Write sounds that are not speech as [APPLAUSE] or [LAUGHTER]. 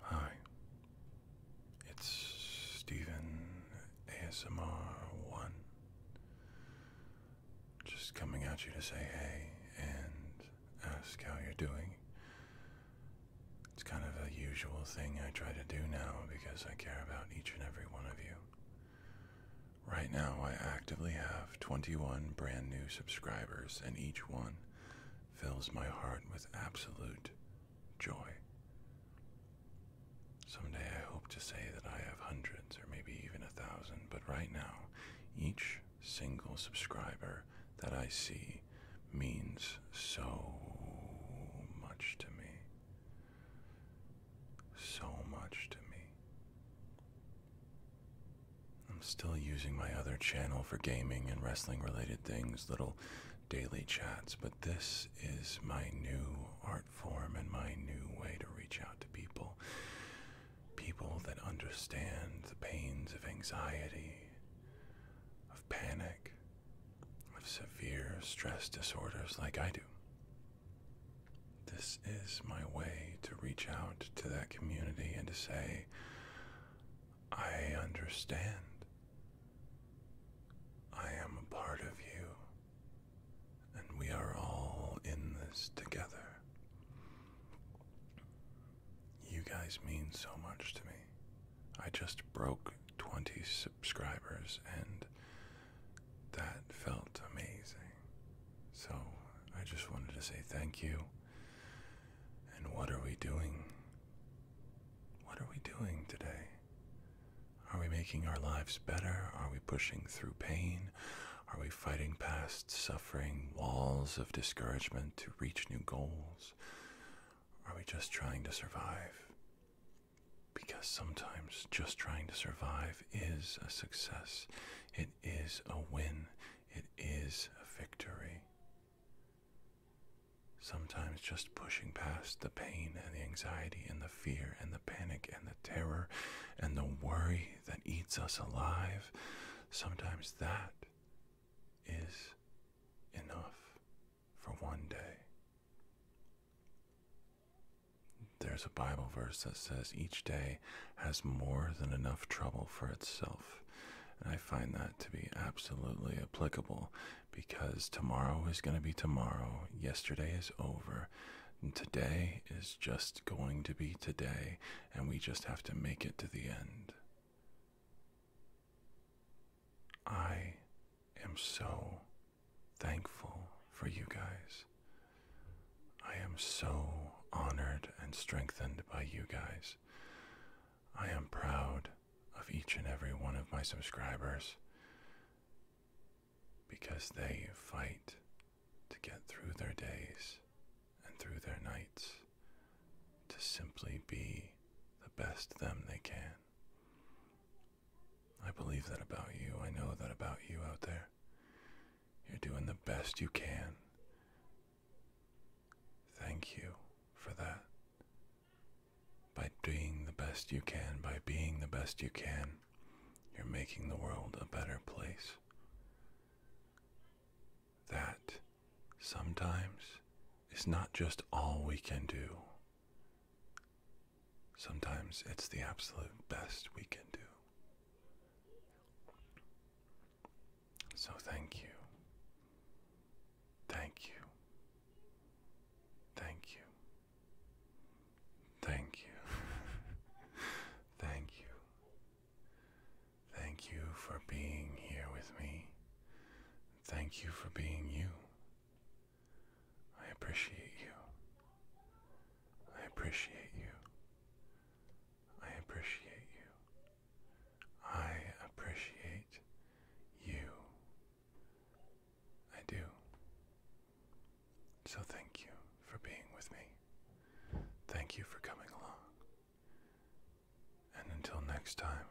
Hi, it's Stephen ASMR1. Just coming at you to say hey and ask how you're doing. It's kind of a usual thing I try to do now because I care about each and every one of you. Right now, I actively have 21 brand new subscribers, and each one fills my heart with absolute joy. Someday I hope to say that I have hundreds or maybe even a thousand, but right now, each single subscriber that I see means so much to me. So much to me. I'm still using my other channel for gaming and wrestling related things, little daily chats, but this is my new art form and my new way to reach out to people. People that understand the pains of anxiety, of panic, of severe stress disorders like I do. This is my way to reach out to that community and to say, I understand. I am a part of you, and we are all in this together. You guys mean so much to me. I just broke 20 subscribers, and that felt amazing. So I just wanted to say thank you. And what are we doing? What are we doing today? Are we making our lives better? Are we pushing through pain? Are we fighting past suffering walls of discouragement to reach new goals? Are we just trying to survive? Because sometimes just trying to survive is a success, it is a win, it is a victory. Sometimes just pushing past the pain and the anxiety and the fear and the panic and the terror and the worry that eats us alive, sometimes that is enough for one day. There's a Bible verse that says each day has more than enough trouble for itself. And I find that to be absolutely applicable because tomorrow is going to be tomorrow. Yesterday is over. And today is just going to be today. And we just have to make it to the end. I am so thankful for you guys. I am so honored and strengthened by you guys. I am proud of each and every one of my subscribers because they fight to get through their days and through their nights to simply be the best them they can. I believe that about you. I know that about you out there. You're doing the best you can. Thank you for that. By doing the best you can, by being the best you can, you're making the world a better place. That sometimes is not just all we can do. Sometimes it's the absolute best we can do. So thank you. Thank you. Thank you. Thank you. [LAUGHS] thank you. Thank you for being here with me. Thank you for being you. I appreciate you. I appreciate you. I appreciate you. I appreciate you. I do. So thank you for being with me. Thank you for coming along. And until next time.